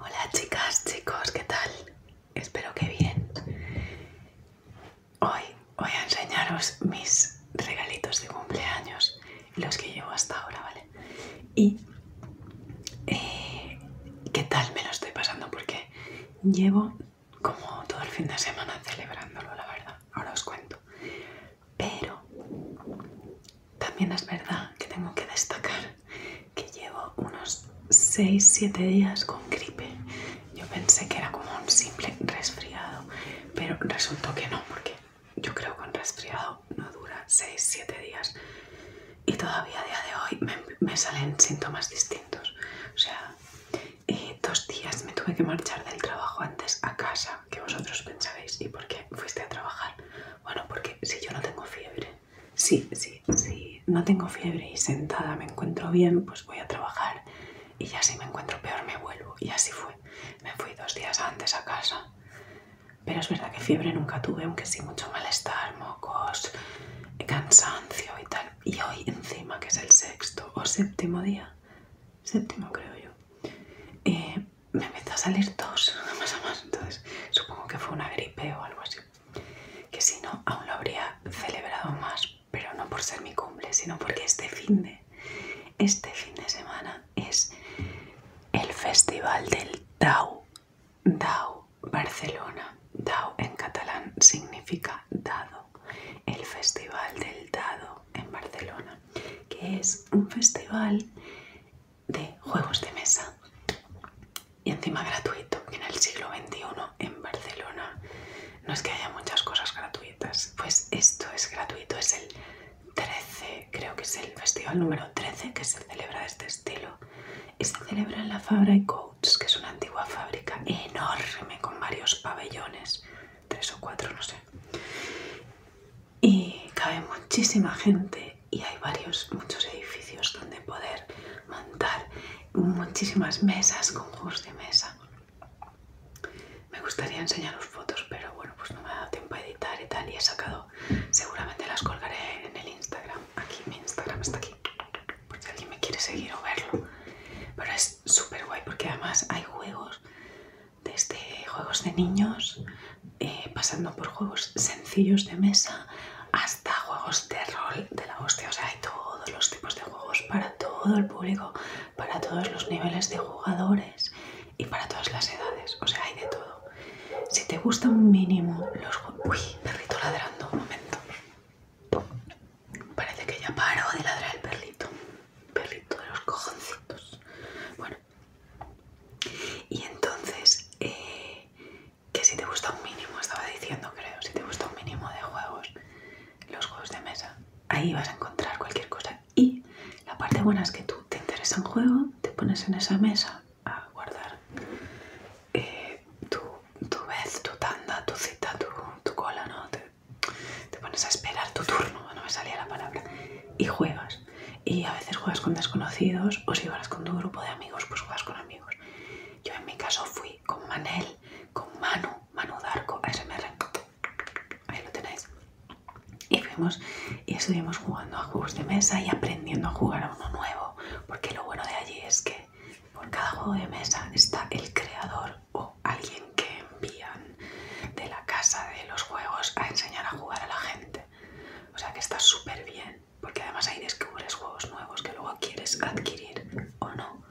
Hola chicas, chicos, ¿qué tal? Espero que bien. Hoy voy a enseñaros mis regalitos de cumpleaños, los que llevo hasta ahora, ¿vale? Y eh, qué tal me lo estoy pasando porque llevo como todo el fin de semana celebrándolo, la verdad. Ahora os cuento. Pero también es verdad que tengo que destacar que llevo unos 6-7 días con gripe. Yo pensé que era como un simple resfriado, pero resultó que no, porque yo creo que un resfriado no dura 6-7 días. Y todavía a día de hoy me, salen síntomas distintos. O sea, eh, dos días me tuve que marchar del trabajo antes a casa, que vosotros pensáis ¿y por qué fuiste a trabajar? Bueno, porque si yo no tengo fiebre, sí, sí, sí, no tengo fiebre y sentada me encuentro bien, pues voy a trabajar y ya si me encuentro peor me vuelvo. Y así fue. Me fui dos días antes a casa. Pero es verdad que fiebre nunca tuve, aunque sí mucho malestar, mocos, cansancio y tal. Y hoy encima, que es el sexto o séptimo día, séptimo creo yo, eh, me empezó a salir tos, más a más, entonces supongo que fue una gripe o algo así. Que si no, aún lo habría celebrado más, pero no por ser mi cumple, sino porque este fin de, este fin de semana es el festival del Dau, Dau Barcelona. Dau en catalán significa dado, el festival del dado en Barcelona, que es un festival de juegos de mesa y encima gratuito en el siglo XXI en Barcelona no es que haya muchas cosas gratuitas pues esto es gratuito es el 13 creo que es el festival número 13 que se celebra de este estilo y se celebra en la Fabra y Coats que es una antigua fábrica enorme con varios pabellones tres o cuatro no sé y cabe muchísima gente y hay varios, muchos edificios donde poder montar muchísimas mesas, juegos de mesa. Me gustaría enseñar los fotos, pero bueno, pues no me ha dado tiempo a editar y tal, y he sacado, seguramente las colgaré en el Instagram, aquí, mi Instagram está aquí, porque alguien me quiere seguir o verlo. Pero es súper guay porque además hay juegos desde juegos de niños, eh, pasando por juegos sencillos de mesa, hasta juegos de rol de la hostia. O sea, hay todos los tipos de juegos para todo el público, para todos los niveles de jugadores y para todas las edades. O sea, hay de todo. Si te gusta un mínimo los juegos... Uy, perrito ladrando, un momento. Parece que ya paro de ladrar el perrito. Perrito de los cojoncitos. Bueno, y entonces, eh, que si te gusta un mínimo, estaba diciendo creo, si te gusta un mínimo de juegos, los juegos de mesa, ahí vas a encontrar cualquier cosa. Y la parte buena es que tú te interesa en juego, te pones en esa mesa a guardar eh, tu, vez, tu tanda, tu cita, tu, cola, ¿no? Te, te pones a esperar tu turno, no me salía la palabra, y juegas. Y a veces juegas con desconocidos o si vas con tu grupo de amigos, pues juegas con amigos. Yo en mi caso fui con Manel, con Manu, Manu Darko, ASMR. Ahí lo tenéis. Y fuimos y estuvimos jugando a juegos de mesa y aprendiendo a jugar a uno nuevo. Porque lo bueno de allí es que por cada juego de mesa está el creador o alguien que envían de la casa de los juegos a enseñar a jugar a la gente. O sea que está súper bien, porque además ahí descubres juegos nuevos que luego quieres adquirir o no.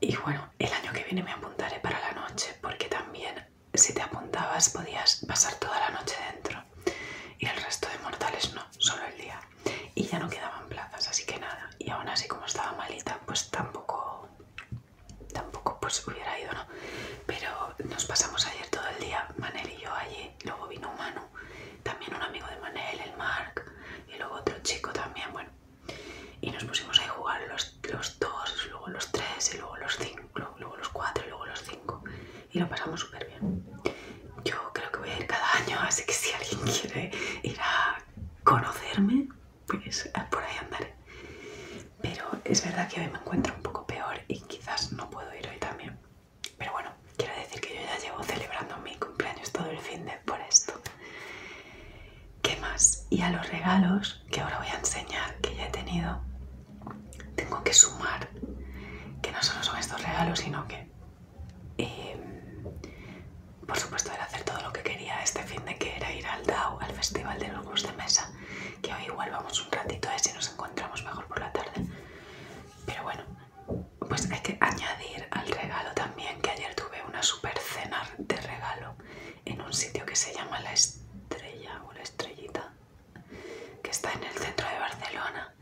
Y bueno, el año que viene me apuntaré para la noche, porque también si te apuntabas podías pasar toda la noche dentro. Y el resto de mortales no, solo el día. Y ya no quedaban plazas, así que nada. Y aún así como estaba malita, pues tampoco tampoco pues hubiera ido, ¿no? Pero nos pasamos ayer todo el día, Manel y yo allí, luego vino Manu, también un amigo de Manel, el Mark, y luego otro chico también, bueno. Y nos pusimos a jugar los, los dos, luego los tres, y luego los cinco, luego los cuatro, y luego los cinco. Y lo pasamos súper bien. Yo creo que voy a ir cada año, así que si alguien quiere ir a conocerme, pues eh, por ahí andaré. Pero es verdad que hoy me encuentro un poco peor y quizás no puedo ir hoy también. Pero bueno, quiero decir que yo ya llevo celebrando mi cumpleaños todo el fin de por esto. ¿Qué más? Y a los regalos que ahora voy a enseñar que ya he tenido, tengo que sumar que no solo son estos regalos, sino que eh, por supuesto, era hacer todo lo que quería este fin de que era ir al DAO, al Festival de los de Mesa, que hoy igual vamos un ratito a ver si nos encontramos mejor por la tarde. Pero bueno, pues hay que añadir al regalo también que ayer tuve una super cena de regalo en un sitio que se llama La Estrella o La Estrellita, que está en el centro de Barcelona.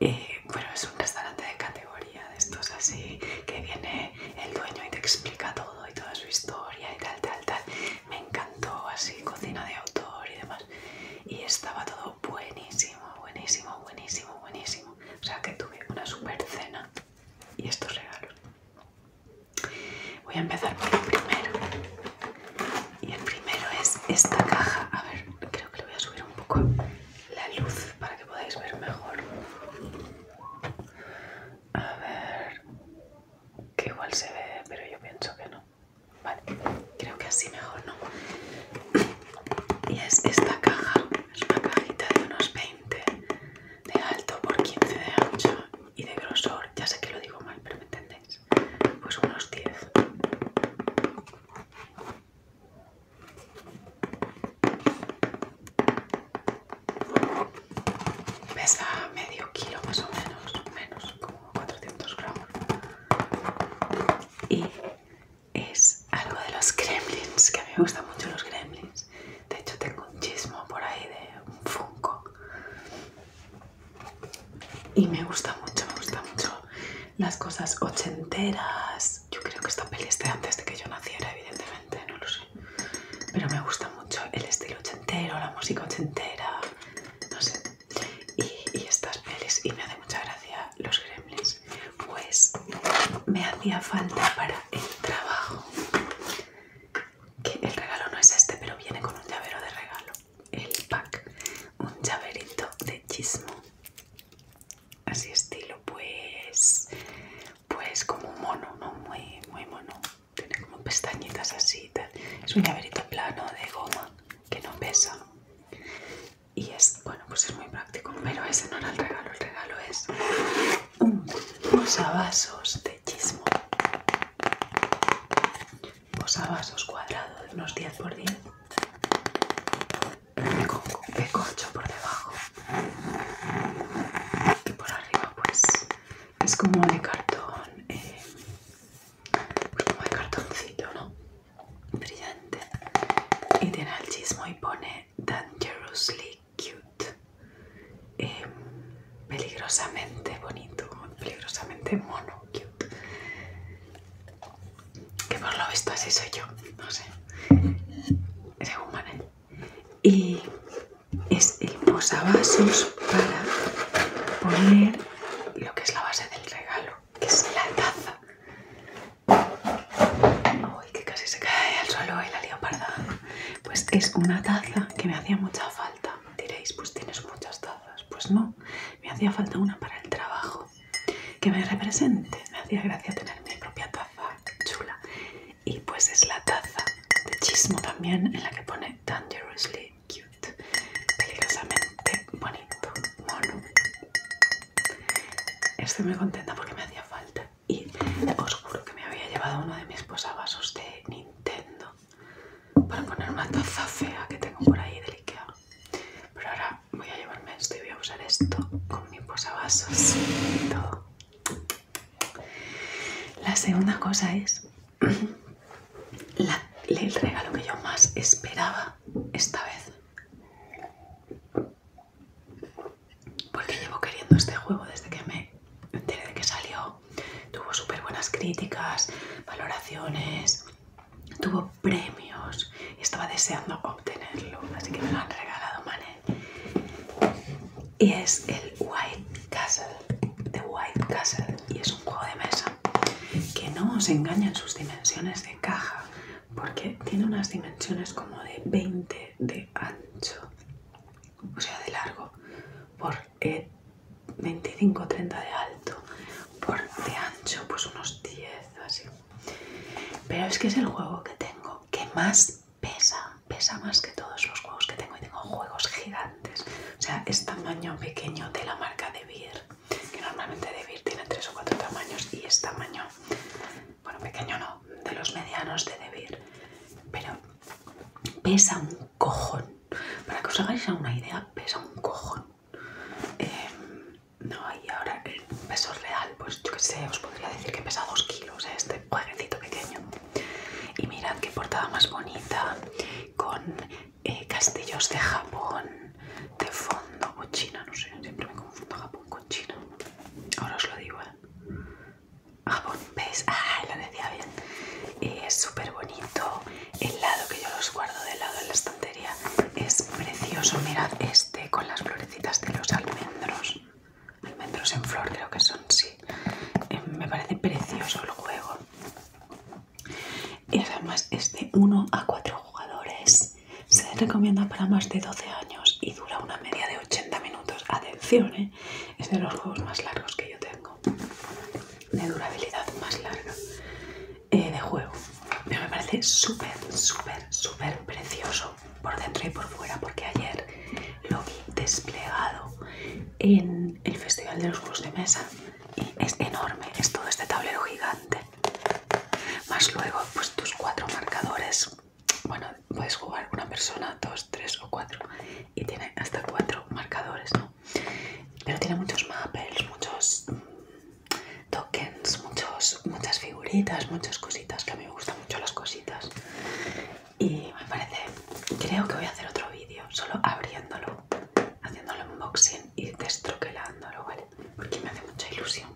Y eh, bueno, es un restaurante de categoría de estos así, que viene el dueño y te explica todo y toda su historia y tal, tal, tal. Me encantó así, cocina de autor y demás. Y estaba todo buenísimo, buenísimo, buenísimo, buenísimo. O sea que tuve una super cena y estos regalos. Voy a empezar por el primero. Y el primero es esta caja. A ver, creo que le voy a subir un poco la luz para que podáis ver mejor. A ver, que igual se ve, pero yo pienso que no. Vale, creo que así mejor, ¿no? Y es esta caja, es una cajita de unos 20 de alto por 15 de ancho y de grosor, ya sé que lo digo mal, pero me entendéis, pues unos 10. Pesa medio kilo más o menos, menos como 400 gramos. Y es algo de los gremlins, que a mí me gustan mucho los gremlins. De hecho tengo un chismo por ahí de un funko. Y me gusta mucho, me gusta mucho las cosas ochenteras yo creo que esta peli es antes de que yo naciera, evidentemente, no lo sé. Pero me gusta mucho el estilo ochentero, la música ochentera, no sé. Y, estas pelis, y me hace mucha gracia los gremlins. Pues me hacía falta para el trabajo. Que el regalo no es este, pero viene con un llavero de regalo. El pack. Un llaverito de chismo así estilo pues pues como un mono no muy muy mono tiene como pestañitas así es un llaverito plano de goma que no pesa y es bueno pues es muy práctico pero ese no era el regalo el regalo es unos posavasos de chismo posavasos cuadrados de unos 10 por 10 con un por debajo y por arriba pues es como de cartón eh, pues como de cartoncito no brillante y tiene el chismo y pone dangerously cute em, peligrosamente bonito peligrosamente mono cute que por lo visto así soy yo no sé y es el posavasos para poner lo que es la base del regalo, que es la taza. Uy, que casi se cae al suelo y la leoparda. Pues es una taza que me hacía mucha falta. Diréis, pues tienes muchas tazas. Pues no, me hacía falta una para el trabajo que me represente. Me hacía gracia tener mi propia taza chula. Y pues es la taza de chismo también en la que pone Dangerously Cute. Peligrosamente bonito, mono. Estoy muy contenta porque me hacía falta. Y os juro que me había llevado uno de mis posavasos de Nintendo para poner una taza fea que tengo por ahí del Ikea. Pero ahora voy a llevarme esto y voy a usar esto con mi posavasos La segunda cosa es el regalo que yo más esperaba esta vez. Porque llevo queriendo este juego desde que me enteré de que salió. Tuvo súper buenas críticas, valoraciones, tuvo premios y estaba deseando obtenerlo, así que me lo han regalado Manet. Y es el White Castle, The White Castle, y es un juego de mesa que no os engaña en sus dimensiones de caja, porque tiene unas dimensiones como de 20 de ancho, o sea, de largo, por 25-30 eh, de alto, por de ancho, pues unos 10 así. Pero es que es el juego que tengo que más pesa, pesa más que todos los juegos que tengo y tengo juegos gigantes. O sea, es tamaño pequeño de la marca de Beer, que normalmente de Beer tiene tres o cuatro tamaños y es tamaño, bueno, pequeño no, de los medianos de De Beer. Pero pesa un cojón. Para que os hagáis una idea, pesa un cojón. Em, no, y ahora el peso real, pues yo qué sé, os podría decir que pesa 2 kilos ¿eh? este jueguecito pequeño. Y mirad qué portada más bonita, con eh, castillos de Japón de fondo, o China, no sé, siempre me confundo Japón con China. Ahora os lo digo, ¿eh? Japón, ¿Veis? Ah, lo decía bien. Eh, es súper bonito el lado que yo los guardo del lado del las es precioso, mirad este con las florecitas de los almendros. Almendros en flor creo que son, sí. Eh, me parece precioso el juego. Y además es de 1 a 4 jugadores. Se recomienda para más de 12 años y dura una media de 80 minutos. Atención, ¿eh? es de los juegos más largos que yo tengo. De durabilidad más larga. Eh, de juego. Pero me parece súper, súper, súper precioso por dentro y por fuera, porque ayer lo vi desplegado en el Festival de los Juegos de Mesa y es enorme, es todo este tablero gigante. Más luego, pues tus cuatro marcadores. Bueno, puedes jugar una persona, dos, tres o cuatro. Y tiene hasta cuatro marcadores, ¿no? Pero tiene muchos mappers, muchos tokens, muchas figuritas, muchas cositas, que a mí me gustan mucho las cositas. Y me parece, creo que voy a hacer otro vídeo, solo abriéndolo, haciéndolo unboxing y destroquelándolo, ¿vale? Porque me hace mucha ilusión.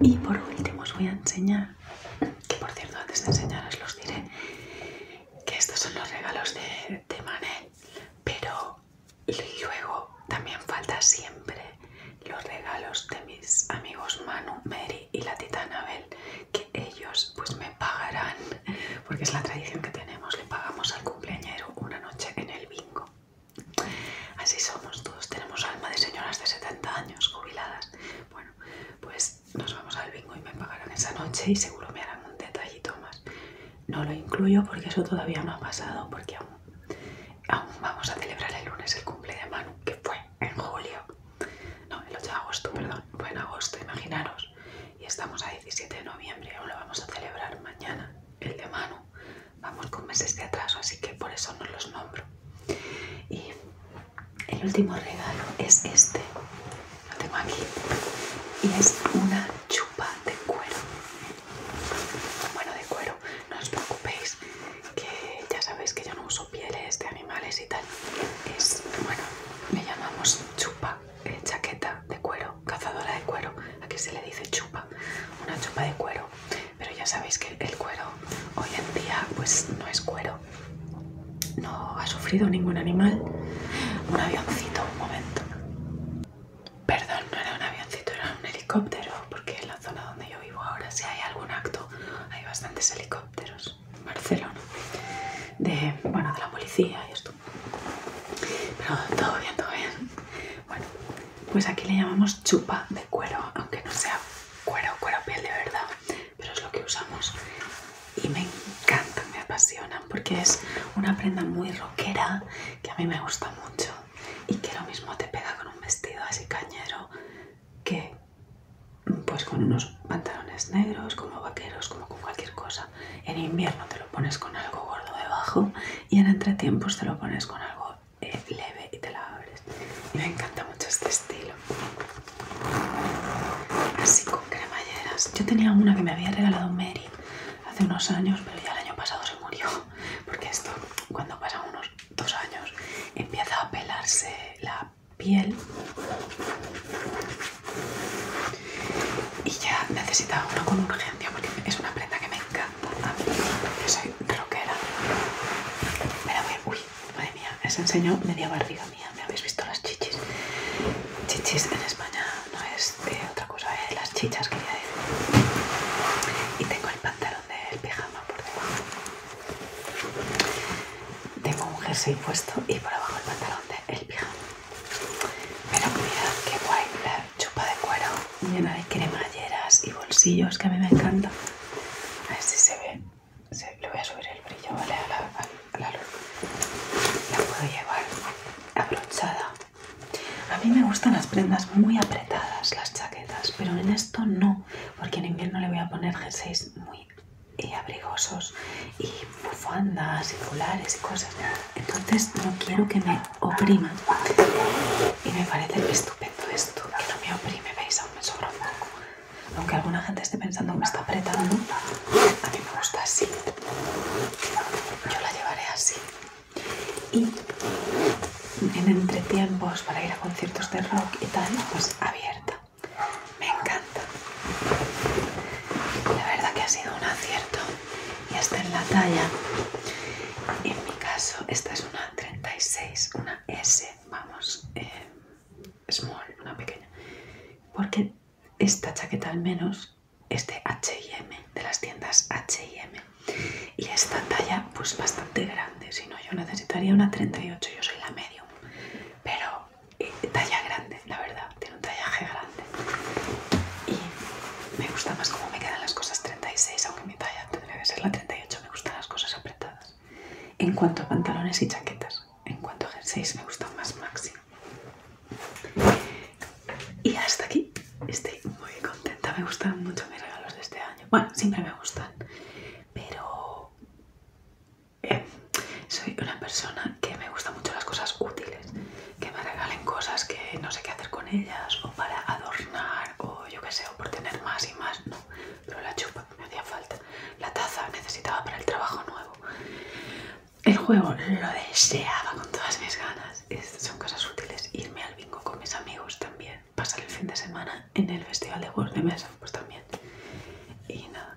Y por último os voy a enseñar, que por cierto antes de enseñaros los diré, que estos son los regalos de, de Manel, pero y luego también falta siempre los regalos de mis amigos Manu, Mary y la tita Anabel, que ellos pues me pagarán, porque es la tradición que tenemos, le pagamos al cumpleañero una noche en el bingo. Así somos todos, tenemos alma de señoras de 70 años jubiladas. Bueno, pues nos vamos al bingo y me pagarán esa noche y seguro me harán un detallito más no lo incluyo porque eso todavía no ha pasado, porque aún, vamos a celebrar el lunes el cumple de Manu, que fue en julio, no, el 8 de agosto, perdón, fue en agosto, imaginaros, y estamos a 17 de noviembre, aún lo vamos a celebrar mañana, el de Manu, vamos con meses de atraso, así que por eso no los nombro. Y el último regalo es este, lo tengo aquí, y es una chupa de cuero bueno de cuero no os preocupéis que ya sabéis que yo no uso pieles de animales y tal es bueno me llamamos chupa eh, chaqueta de cuero cazadora de cuero aquí se le dice chupa una chupa de cuero pero ya sabéis que el cuero hoy en día pues no es cuero no ha sufrido ningún animal un avioncito un momento Perdón, no era un avioncito, era un helicóptero, porque en la zona donde yo vivo ahora, si hay algún acto, hay bastantes helicópteros Barcelona, de, bueno, de la policía y esto. Pero todo bien, todo bien. Bueno, pues aquí le llamamos chupa de cuero, aunque no sea cuero, cuero piel de verdad, pero es lo que usamos. Y me encantan, me apasiona porque es una prenda muy rockera que a mí me gusta mucho y que lo mismo te pega con un vestido así cañero que pues con unos pantalones negros como vaqueros como con cualquier cosa en invierno te lo pones con algo gordo debajo y en entretiempos te lo pones con algo eh, leve y te la abres me encanta mucho este estilo así con cremalleras yo tenía una que me había regalado Mary hace unos años, pero ya el año pasado se murió, porque esto cuando pasan unos dos años empieza a pelarse la piel y ya necesitaba uno con urgencia porque es una prenda que me encanta a mí, yo soy rockera me la voy a... uy, madre mía, les enseño media barriga mía, me habéis visto las chichis chichis en España no es otra cosa de ¿eh? las chichas que ya he... y tengo el pantalón del pijama por debajo tengo un jersey puesto y por abajo el pantalón de el pijama pero mira que guay la chupa de cuero llena de cremalleras y bolsillos que a mí me encanta a ver si se ve se, le voy a subir el brillo vale a la la puedo llevar abrochada. A mí me gustan las prendas muy apretadas, las chaquetas, pero en esto no, porque en invierno le voy a poner jerseys muy eh, abrigosos y bufandas y colares y cosas. Entonces no quiero que me oprima. Y me parece estupendo esto, que no me oprime, veis, aún me sobra un poco. Aunque alguna gente esté pensando que me está apretando, a mí me gusta así yo la llevaré así y en entretiempos para ir a conciertos de rock y tal pues abierta me encanta la verdad que ha sido un acierto y está en la talla en mi caso esta es una 36 una S vamos eh, small una pequeña porque esta chaqueta al menos este H&M de las tiendas H&M y esta talla pues bastante grande si no yo necesitaría una 38 yo soy la medium pero eh, talla grande la verdad tiene un tallaje grande y me gusta más cómo me quedan las cosas 36 aunque mi talla tendría que ser la 38 me gustan las cosas apretadas en cuanto a pantalones y chaquetas en cuanto a jerseys me gustan más máximo y hasta aquí. Estoy muy contenta. Me gustan mucho mis regalos de este año. Bueno, siempre me gustan. Pero eh, soy una persona que me gusta mucho las cosas útiles. Que me regalen cosas que no sé qué hacer con ellas. O para adornar. O yo qué sé. O por tener más y más. No. Pero la chupa me hacía falta. La taza necesitaba para el trabajo nuevo el juego lo deseaba con todas mis ganas. son cosas útiles. Irme al bingo con mis amigos también. Pasar el fin de semana en el festival de juegos de mesa, pues también. Y nada,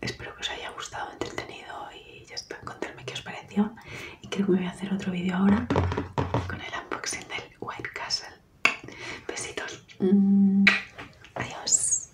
espero que os haya gustado, entretenido y ya está. contarme qué os pareció. Y creo que me voy a hacer otro vídeo ahora con el unboxing del White Castle. Besitos. Mm. adiós.